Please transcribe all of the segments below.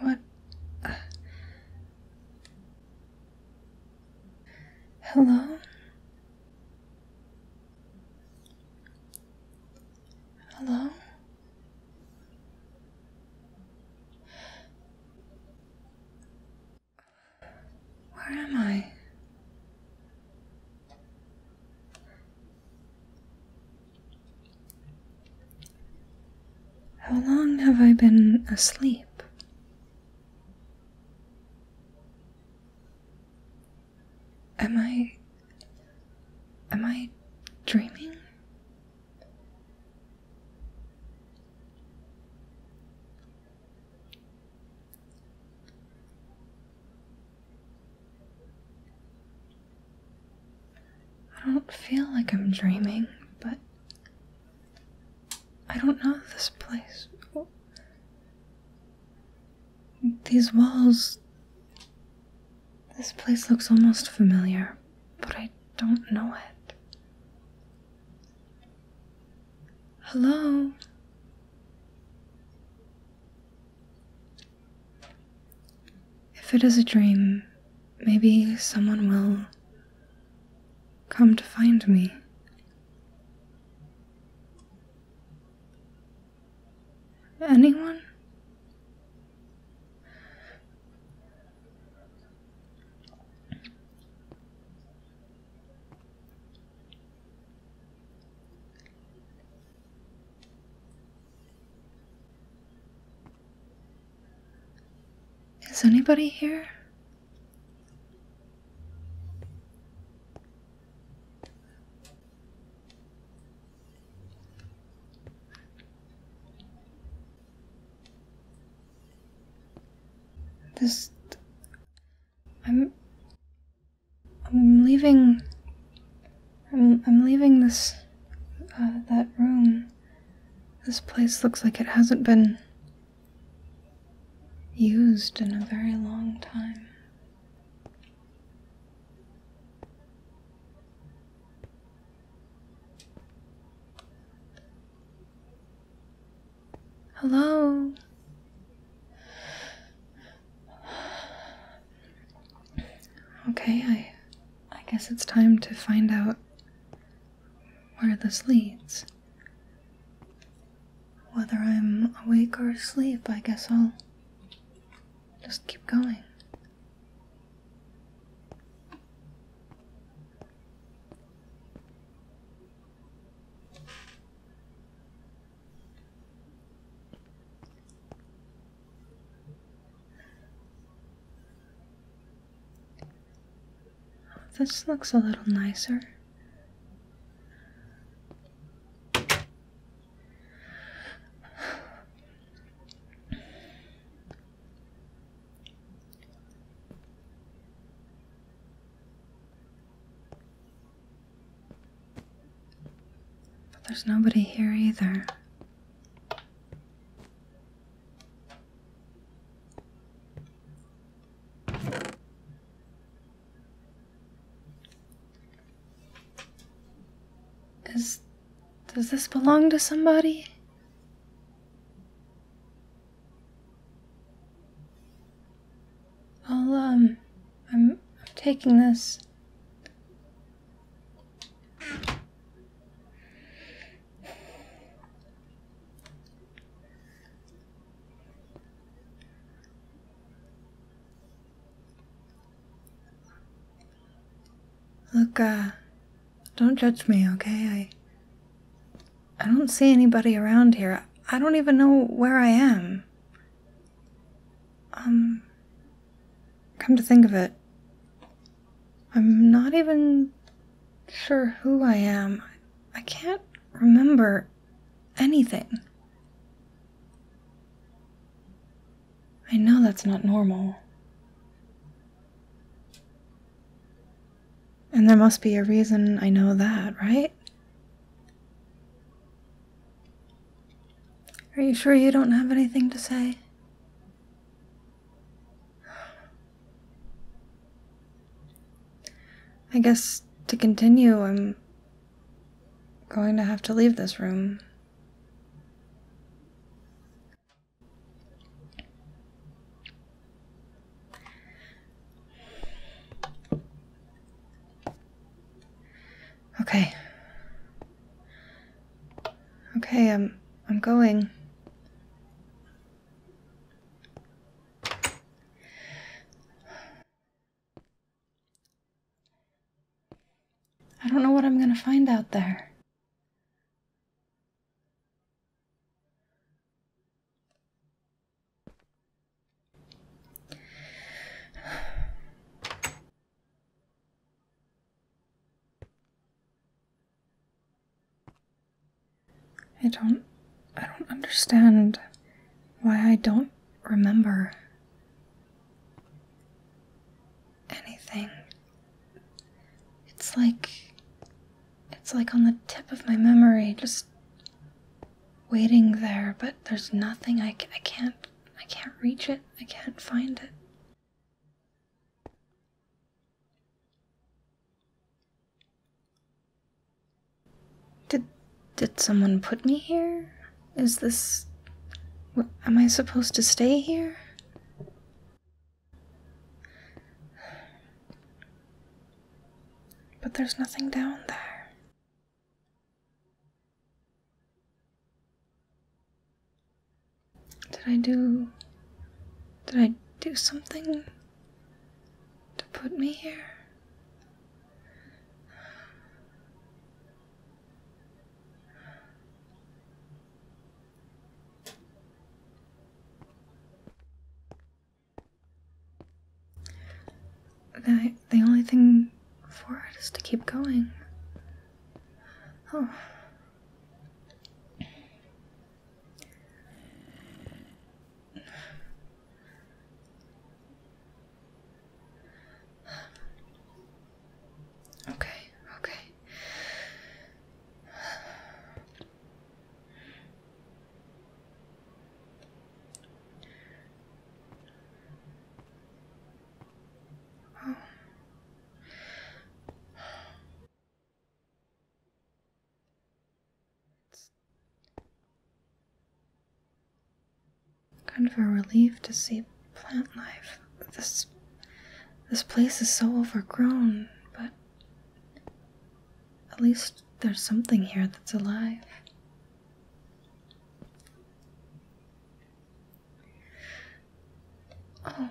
What? hello? Hello? Where am I? How long have I been asleep? Am I. Am I dreaming? I don't feel like I'm dreaming, but I don't know this place. These walls. This place looks almost familiar but I don't know it. Hello? If it is a dream, maybe someone will come to find me. Anyone? Is anybody here? This. I'm. I'm leaving. I'm, I'm leaving this. Uh, that room. This place looks like it hasn't been used in a very long time. Hello. Okay, I I guess it's time to find out where this leads. Whether I'm awake or asleep, I guess I'll just keep going. This looks a little nicer. But there's nobody here either. Is does this belong to somebody? I'll, um, I'm, am taking this. Look, uh, don't judge me, okay? I I don't see anybody around here. I don't even know where I am. Um come to think of it, I'm not even sure who I am. I can't remember anything. I know that's not normal. And there must be a reason I know that, right? Are you sure you don't have anything to say? I guess to continue, I'm going to have to leave this room. Okay. Okay, I'm um, I'm going. I don't know what I'm going to find out there. I don't I don't understand why I don't remember anything. It's like. It's like on the tip of my memory, just waiting there, but there's nothing. I, I can't. I can't reach it. I can't find it. Did. Did someone put me here? Is this. Am I supposed to stay here? But there's nothing down there. Did I do. Did I do something to put me here? The, the only thing for it is to keep going. Oh. Okay, okay. Oh. It's Kind of a relief to see plant life. This this place is so overgrown, but at least there's something here that's alive. Oh.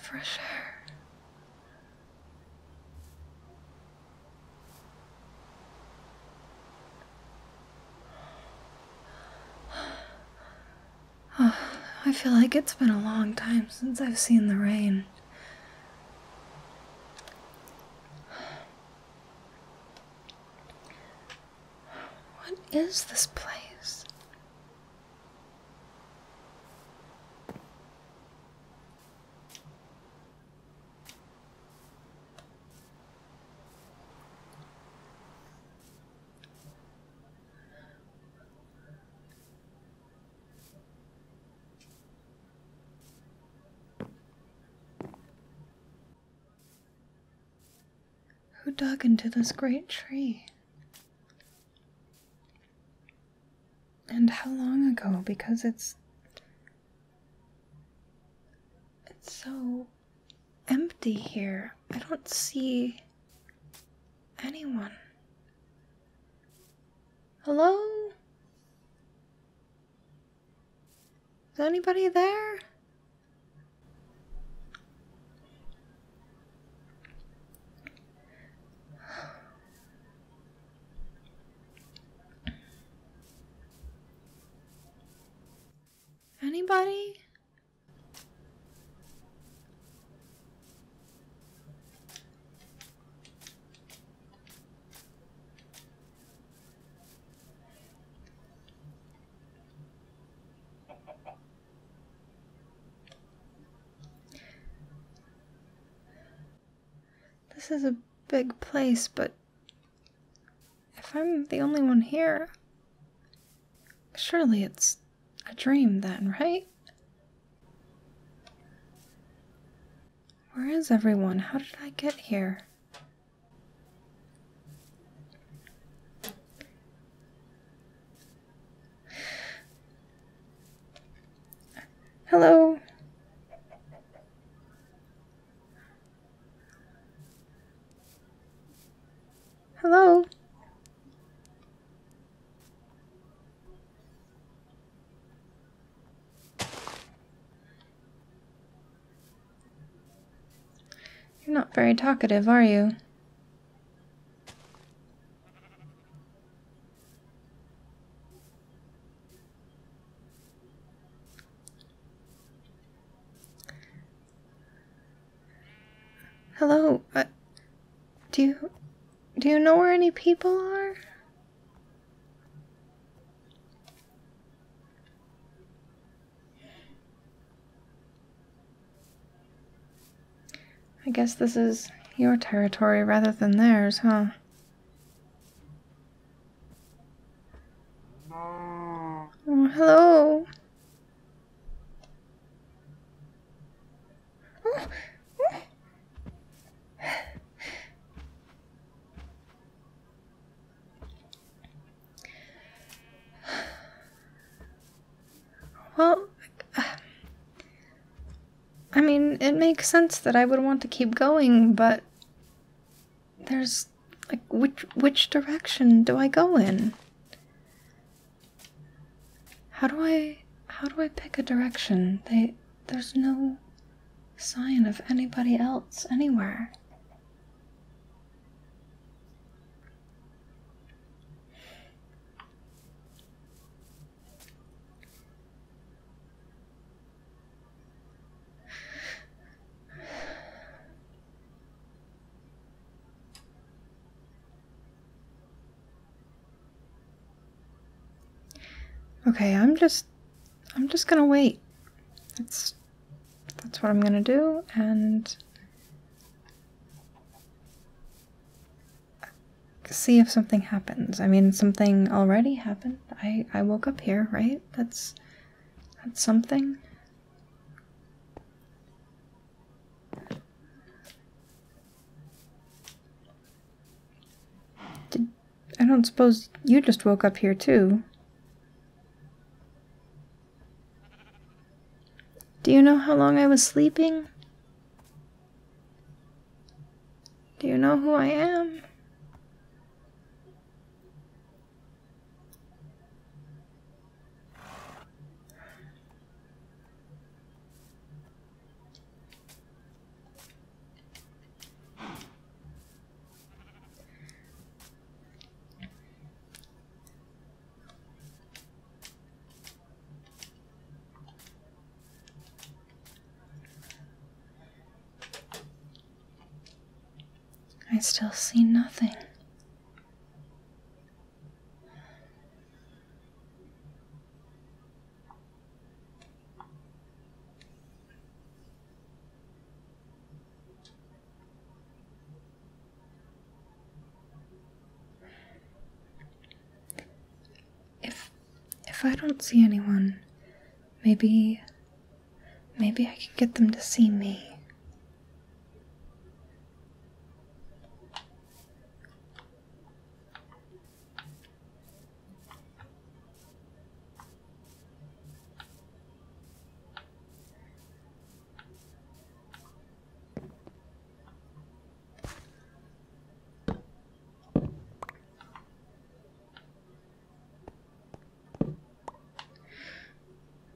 For sure. Oh, I feel like it's been a long time since I've seen the rain. What is this place? Who dug into this great tree? And how long ago? Because it's it's so empty here. I don't see anyone. Hello? Is anybody there? Anybody? This is a big place, but if I'm the only one here, surely it's a dream then, right? Where is everyone? How did I get here? Hello. Hello. You're not very talkative, are you? Hello, uh, do you, do you know where any people are? I guess this is your territory rather than theirs, huh? Oh, hello. Well, I mean, it makes sense that I would want to keep going, but there's like which which direction do I go in? How do I how do I pick a direction? there's no sign of anybody else anywhere. Okay, I'm just I'm just gonna wait. That's that's what I'm gonna do and see if something happens. I mean, something already happened. I I woke up here, right? That's that's something. I don't suppose you just woke up here too. Do you know how long I was sleeping? Do you know who I am? I still see nothing. If if I don't see anyone, maybe maybe I can get them to see me.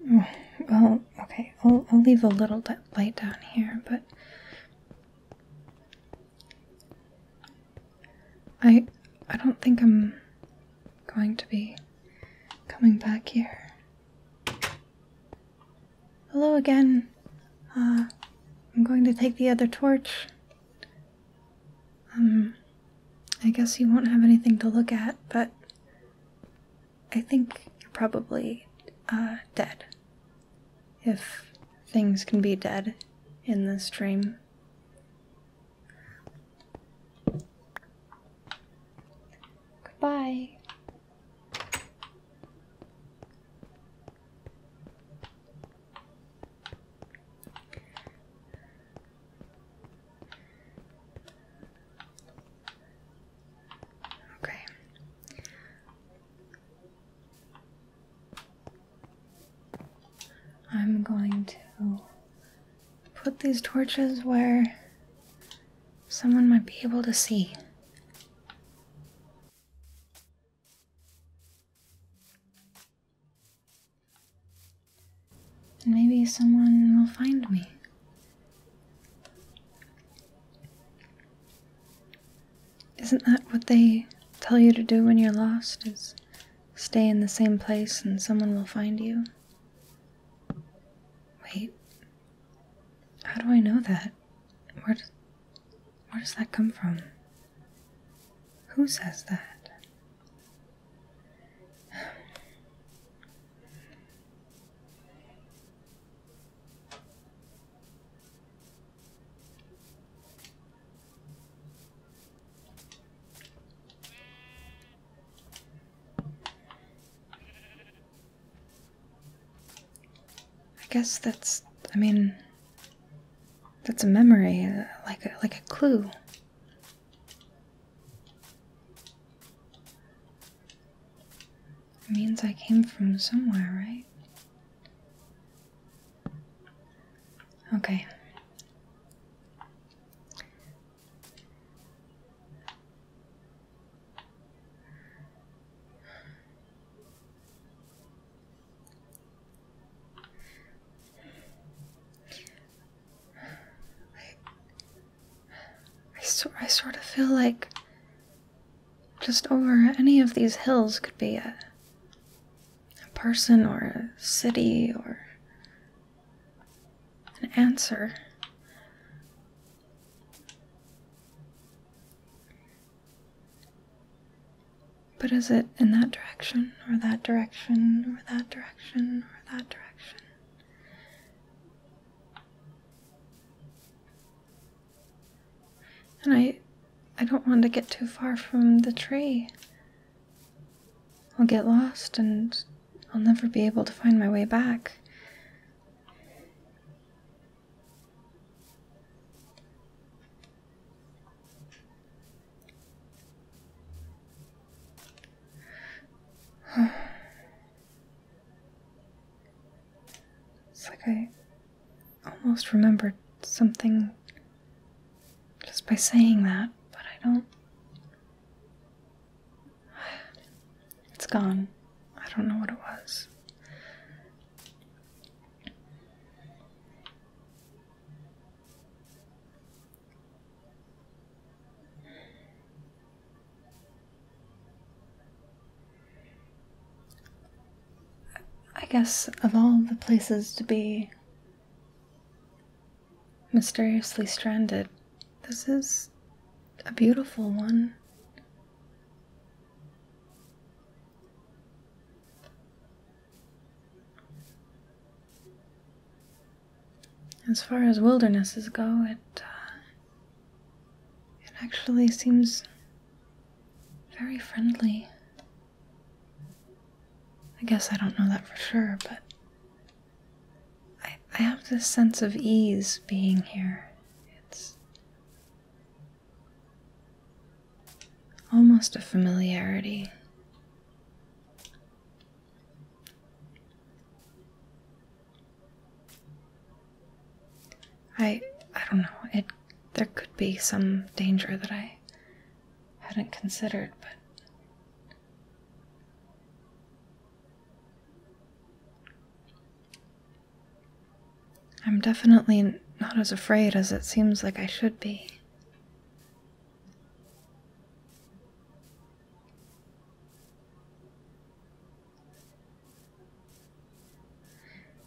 Oh, well, okay, I'll, I'll leave a little light down here, but I I don't think I'm going to be coming back here. Hello again. Uh, I'm going to take the other torch. Um, I guess you won't have anything to look at, but I think you're probably uh, dead. If things can be dead in this dream. Goodbye. Okay. I'm going to put these torches where someone might be able to see. And maybe someone will find me. Isn't that what they tell you to do when you're lost? Is stay in the same place and someone will find you? Wait, how do I know that? Where, does that come from? Who says that? I guess that's, I mean, that's a memory, uh, like a, like a clue. It means I came from somewhere, right? Okay. I, so, I sort of feel like just over any of these hills could be a person or a city or an answer. But is it in that direction, or that direction, or that direction, or that direction? And I I don't want to get too far from the tree. I'll get lost and I'll never be able to find my way back. It's like I almost remembered something just by saying that, but I don't. It's gone. I don't know what it was. I guess of all the places to be, mysteriously stranded. This is a beautiful one. As far as wildernesses go, it uh, it actually seems very friendly. I guess I don't know that for sure, but I, I have this sense of ease being here. It's almost a familiarity. I I don't know. It there could be some danger that I hadn't considered, but I'm definitely not as afraid as it seems like I should be.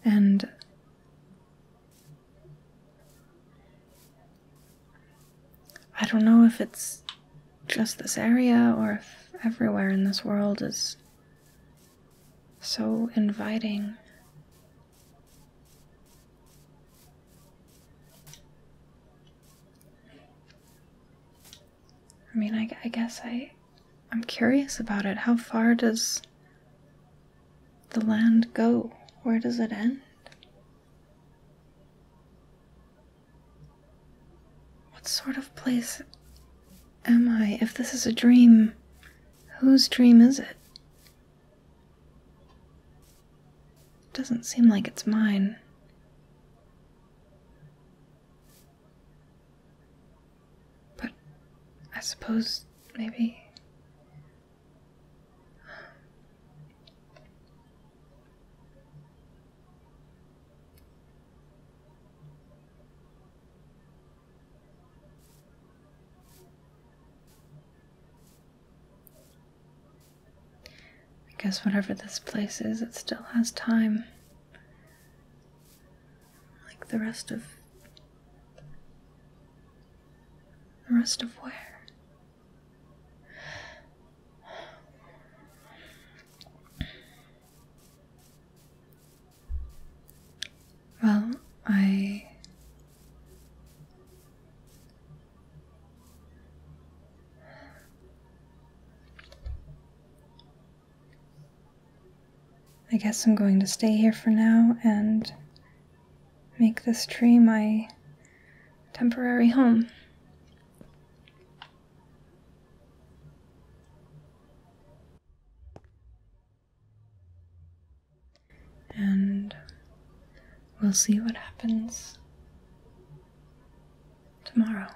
And I don't know if it's just this area or if everywhere in this world is so inviting. I mean, I, guess I, I'm curious about it. How far does the land go? Where does it end? What sort of place am I if this is a dream? Whose dream is it? It doesn't seem like it's mine. But I suppose maybe. I guess whatever this place is, it still has time. Like the rest of. The rest of where? Well, I I guess I'm going to stay here for now and make this tree my temporary home. And we'll see what happens tomorrow.